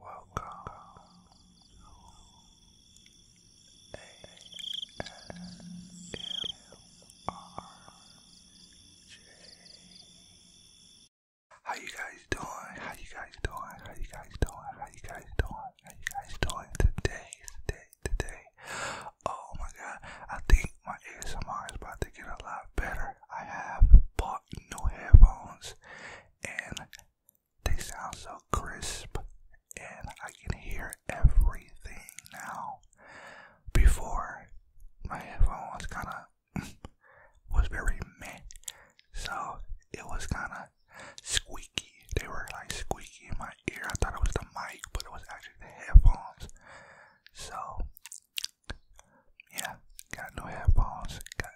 Welcome to How you guys doing? How you guys doing? How you guys doing? How you guys doing? How you guys doing today? Today, today. Oh my god, I think my ASMR is about to get a lot better. I have bought new headphones and they sound so crisp, and I can hear everything now. Before, my headphones kind of was very meh, so it was kind of squeaky. They were like squeaky in my ear. I thought it was the mic, but it was actually the headphones. So, yeah, got new headphones, got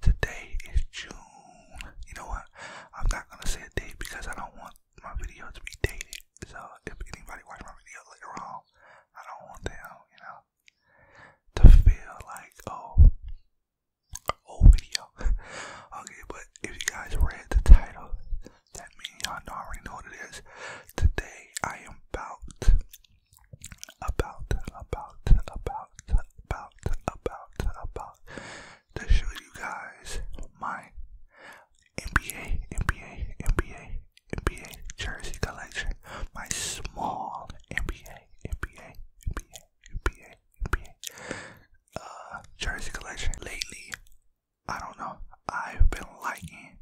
Today is June. You know what? I'm not gonna say a date because I don't want my video to be dated. So if anybody watch my video later on, I don't want them, you know, to feel like oh, old video. okay, but if you guys read the title, that means y'all already know what it is. Today I am about, about, about, about, about, about, about to show you guys my NBA, NBA, NBA, NBA jersey collection. My small NBA, NBA, NBA, NBA, NBA uh, jersey collection. Lately, I don't know, I've been liking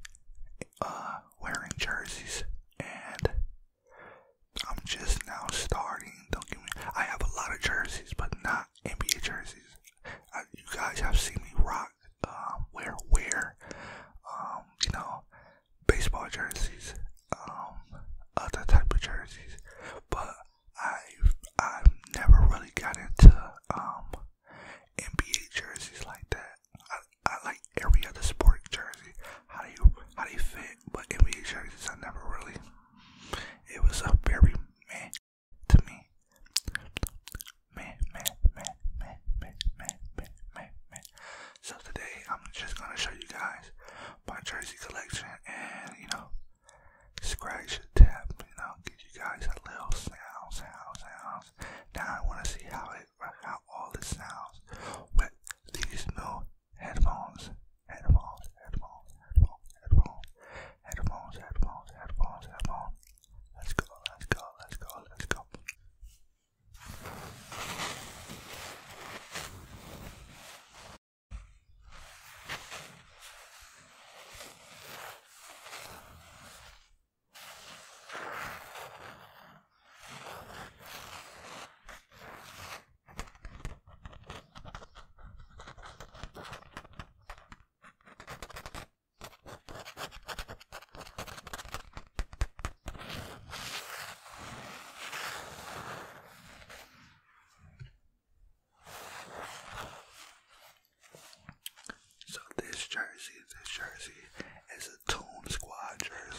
uh, wearing jerseys and I'm just now starting. Don't get me. I have a lot of jerseys, but not NBA jerseys. you guys have seen me rock, um, wear, wear, um, you know, baseball jerseys, um, other type of jerseys. But I've I've never really got into NBA jerseys like that. I, I like every other sport jersey. How do you how do you fit? but NBA jerseys, I never really. It was a very man to me. Man, man, man, man, man, man, man, man, man. So today, I'm just gonna show you guys my jersey collection and you know, scratch the tap, you know, give you guys a little sound, sound, sounds. Now I wanna see how it, how all this sounds with these new headphones, headphones, headphones, headphones, headphones, headphones, headphones, headphones, headphones. Let's go, let's go, let's go, let's go. So this jersey, this jersey is a Tune Squad jersey.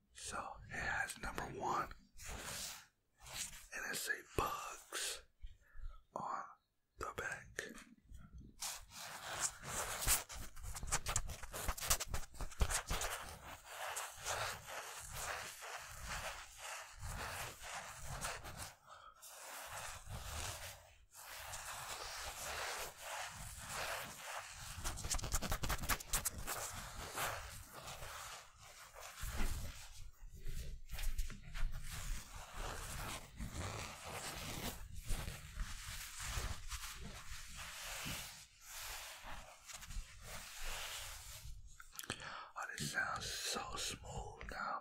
So it has number one, and it say bugs on the back. Oh, this sounds so small now.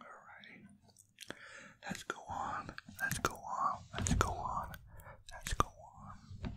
Alrighty. Let's go on. Let's go on. Let's go on. Let's go on.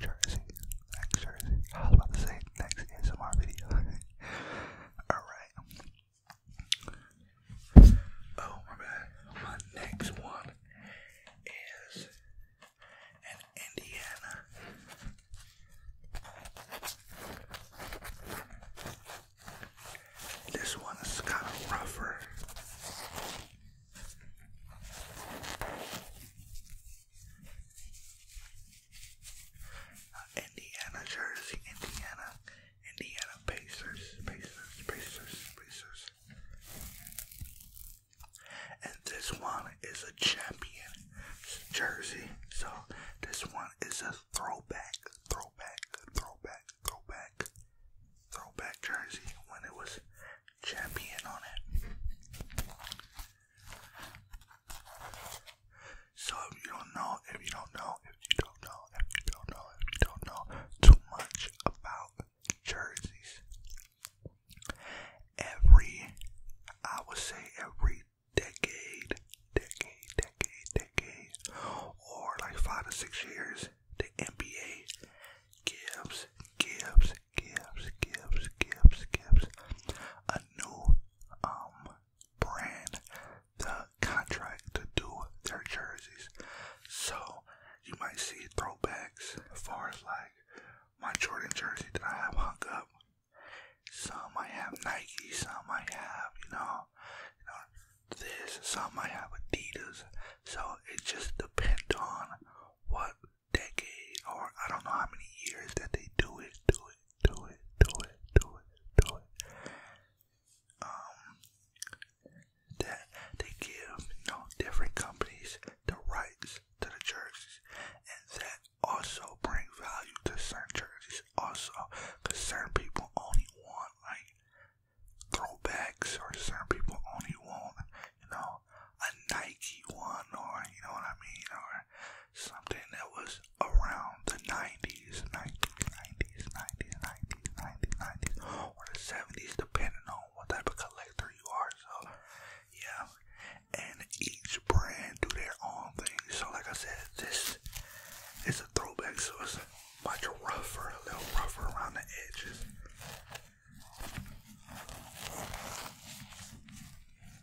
Jersey. Next Jersey. I was about to say next ASMR video. Alright. Oh my bad. My next one is an Indiana. This one is kind of rougher. Indiana jersey, Indiana, Indiana Pacers, Pacers, Pacers, Pacers. And this one is a champion jersey. So this one is a throwback, throwback, throwback, throwback, throwback jersey when it was champion on it. So if you don't know, if you don't know, if you don't know, if you don't know, if you don't know too much about jerseys, every, I would say every decade, decade, decade, decade, or like five to six years, the NBA gives, gives, gives, gives, gives, gives a new um brand the contract to do their jerseys. So you might see throwbacks as far as like my Jordan jersey that I have hung up. Some I have Nike, some I have, you know, this, some I have Adidas. So it just depends on what decade or I don't know how many years that they do it, do it, do it, do it, do it, do it. Um, that they give, you know, different companies the rights to the jerseys, and that also bring value to certain jerseys. Also, because certain people only want like throwbacks, or certain people only want, you know, a Nike one or, you know what I mean, or something that was around the 90s, 90s, or the 70s, depending on what type of collector you are. So, yeah, and each brand do their own thing. So, like I said, this is a throwback, so it's much rougher, a little rougher around the edges.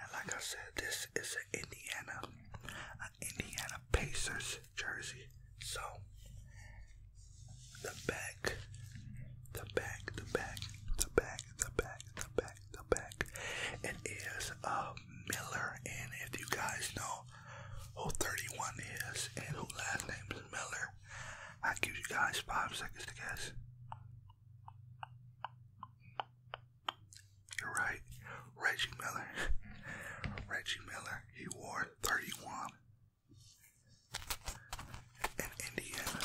And like I said, this is an Indiana, an Indiana Pacers jersey. So the back, the back, the back, the back, the back, the back, the back. It is a uh, Miller, and if you guys know, who 31 is and who last name is Miller. I give you guys five seconds to guess. You're right, Reggie Miller. Reggie Miller, he wore 31 in Indiana.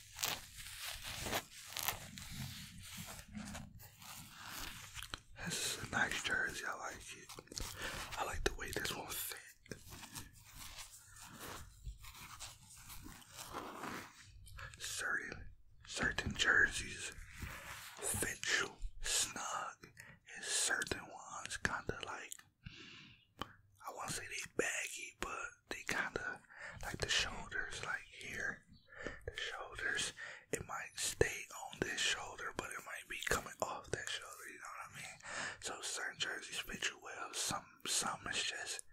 This is a nice jersey. I like it. I like the way this one fit. Certain, certain jerseys fit you snug, and certain ones kind of like I want to say they baggy but they kind of like the shoulders, like here, the shoulders. It might stay on this shoulder, but it might be coming off that shoulder. You know what I mean? So certain jerseys fit you well. Some, some is just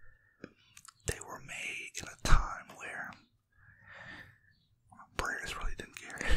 they were made in a time where brands really didn't care.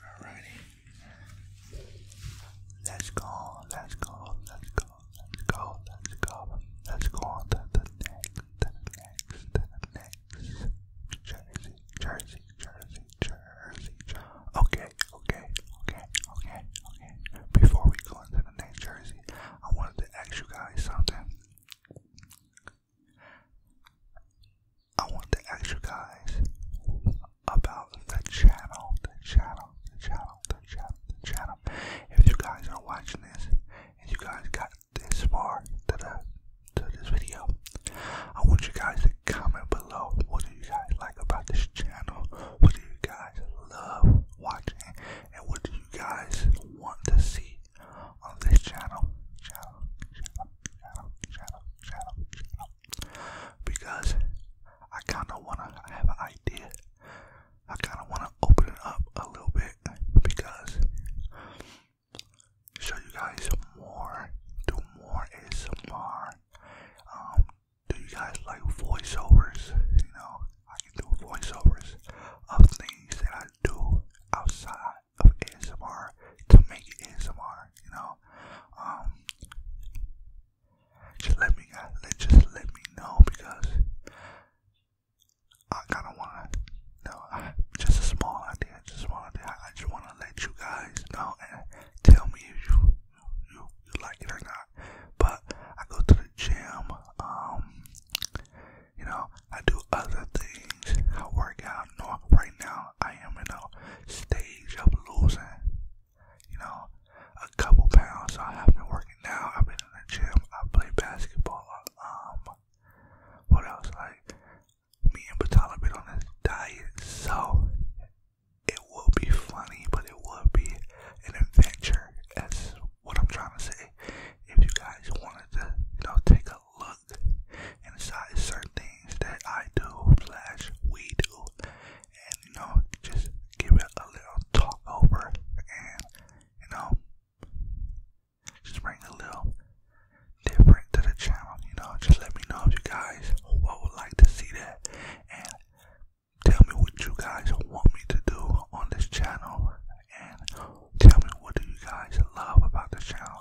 Alrighty. Let's go, let's go, let's go, let's go, let's go. Let's go on to the next, to the next, to the next. Jersey, Jersey, Jersey, Jersey, Jersey. Okay, okay, okay, okay, okay. Before we go into the next Jersey, I wanted to ask you guys something. I want to ask you guys about the channel, the channel, the channel, the channel, the channel. If you guys are watching this and you guys got this far to the to this video, I want you guys to comment below what do you guys like about this channel? What do you guys love watching? And what do you guys want to see on this channel? Channel, channel, channel, channel, channel, channel because I kind of want to have an idea. I kind of want to open it up a little bit because show you guys more, do more ASMR. Um, do you guys like voiceovers? You know, I can do voiceovers of things that I do outside of ASMR to make it ASMR. You know, um, just let me, just let me know because I kind of want to know. I, just a small idea, just want to I just want to let you guys know and tell me if you you like it or not. But I go to the gym. Um, you know, I do other things. I work out. I right now I am in a stage of losing, you know, a couple pounds. I have been working now. I've been in the gym. I play basketball. Um, what else? Like me and Batala been on this diet, so it will be funny, but it will be an adventure. That's what I'm trying to say. If you guys wanted to, you know, take a look plug inside certain things that I do, slash, we do, and you know, just give it a little talk and you know, just bring a little different to the channel. You know, just let me know if you guys would like to see that and tell me what you guys want me to do on this channel and tell me what do you guys love about this channel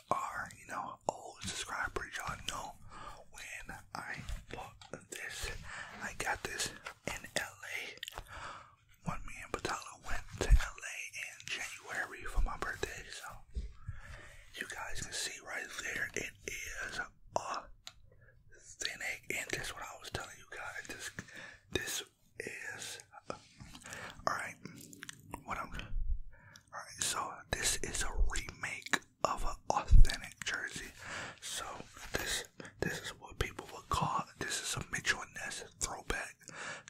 are, you know, old subscribers, you know when I bought this, I got this in LA. When me and went to LA in January for my birthday, so you guys can see right there, it is authentic, and that's what I was telling you guys, this, this is Alright, what I'm. Alright, so this is a remake of an authentic jersey. So this this is what people would call this is a Mitchell and Ness throwback.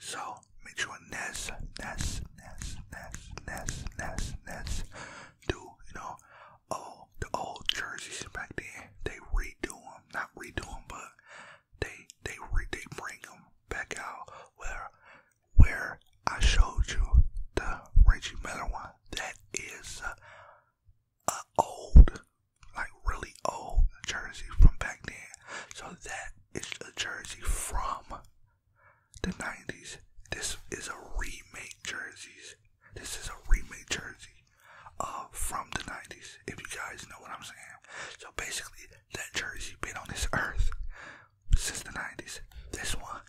So Mitchell and Ness, Ness, Ness, Ness, Ness, Ness, Ness, do you know all the old jerseys back then? They redo them, not redo them, but they they they bring them back out where where I showed you the Reggie Miller one. That is uh, a old, like really old jersey from back then. So that is a jersey from the nineties. This is a remake jerseys. This is a remake jersey uh, from the nineties. If you guys know what I'm saying. So basically, that jersey been on this earth since the 90s. This one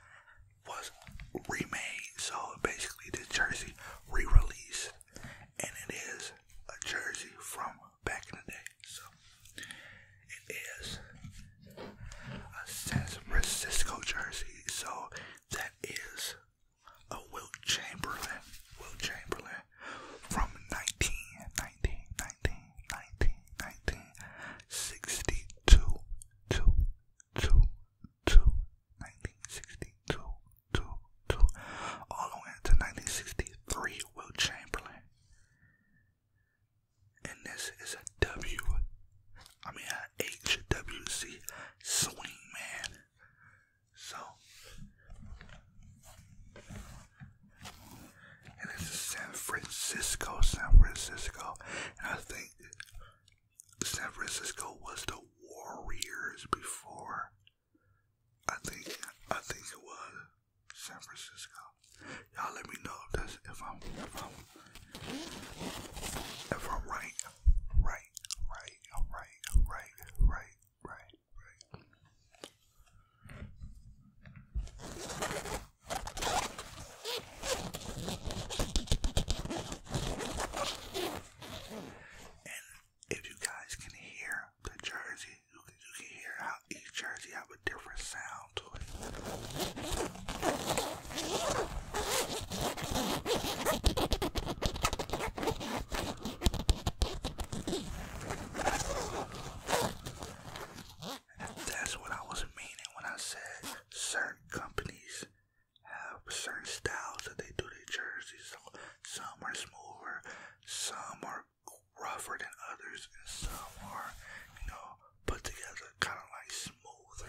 was remade, so basically this jersey re-released, and it is a jersey from back in the day. So it is a San Francisco jersey. So that is a Wilt Chamberlain. Wilt Chamberlain from 19, all the way into 1963, Will Chamberlain. And this is a W, I mean a HWC swing man. So and it's San Francisco, San Francisco. And I think San Francisco was the Warriors before. I think I think it was San Francisco. Y'all let me know if if I'm if I'm if I'm right. Right, right, right, right, right, right. And if you guys can hear the jersey, you can hear how each jersey have a different sound to it that's what I was meaning when I said certain companies have certain styles that they do their jerseys. So some are smoother, some are rougher than others, and some are, you know, put together kind of like smoother.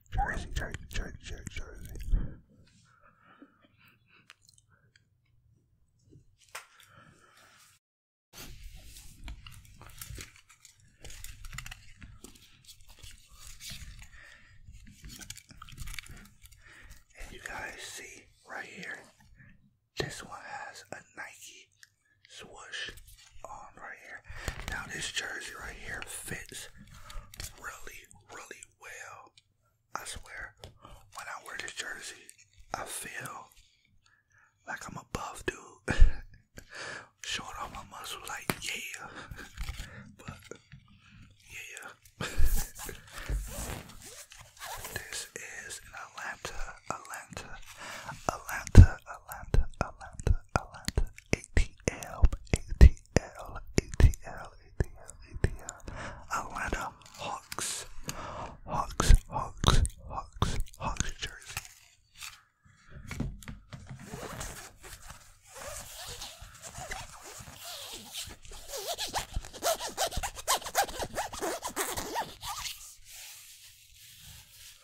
Jersey, Jersey, Jersey, Jersey, Jersey. And you guys see right here, this one has a Nike swoosh on right here. Now this jersey right here fits really, really well. I swear, when I wear this jersey, I feel like I'm a buff dude. Showing off my muscles like yeah. but yeah. this is an Atlanta, Atlanta, Atlanta, Atlanta, Atlanta, Atlanta, ATL, ATL, ATL, ATL, ATL, Atlanta Hawks, Hawks, Hawks, Hawks, Hawks jersey.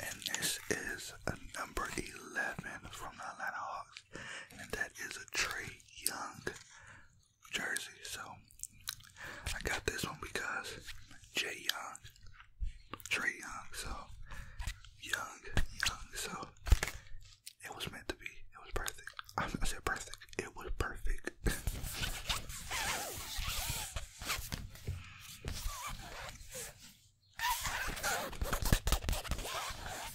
And this is number 11 from the Atlanta and that is a Trey Young jersey. So I got this one because Jay Young, Trey Young, so Young, Young, so it was meant to be. It was perfect. I, I said perfect. It was perfect.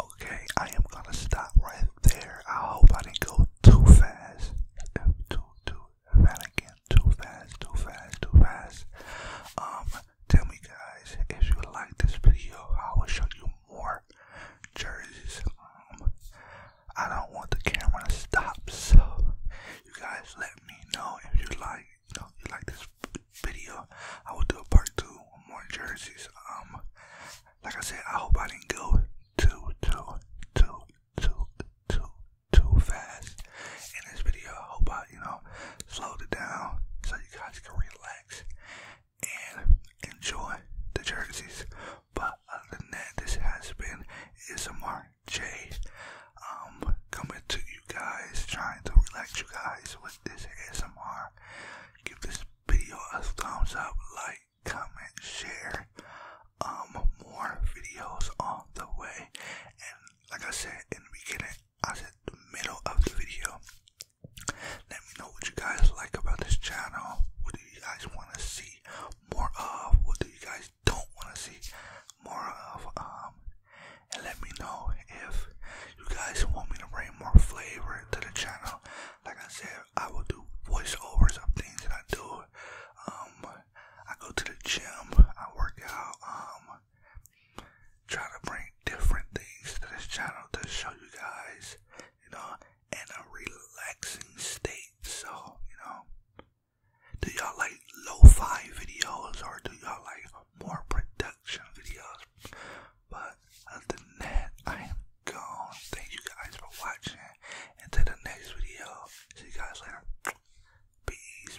Okay, I am gonna stop right there. I hope I didn't go too fast. Too, too, if I didn't get too fast, too fast, too fast. Um, tell me guys if you like this video i will show you more jerseys um, i don't want the camera to stop so you guys let me know if you like you know you like this video i will do a part two more jerseys um like i said i hope i didn't go too too too too too too fast in this video hope i you know slowed it down so you guys can relax and enjoy the jerseys. But other than that, this has been ASMR J. Um, coming to you guys, trying to relax you guys with this S M R. Give this video a thumbs up, like, comment, share. Um, more videos on the way. And like I said in the beginning, I at the middle of the video. Let me know what you guys like about this channel. What do you guys want to see more of? What do you guys don't want to see more of? Um, and let me know if you guys want me to bring more flavor to the channel. Like I said, I will do voiceovers of things that I do. Um, I go to the gym. I work out. Um, trying to bring different things to this channel to show you guys, you know, in a relaxing state. So, you know, do y'all like lo-fi videos or do y'all like more production videos? But other than that, I am gone. Thank you guys for watching. Until the next video, see you guys later. peace.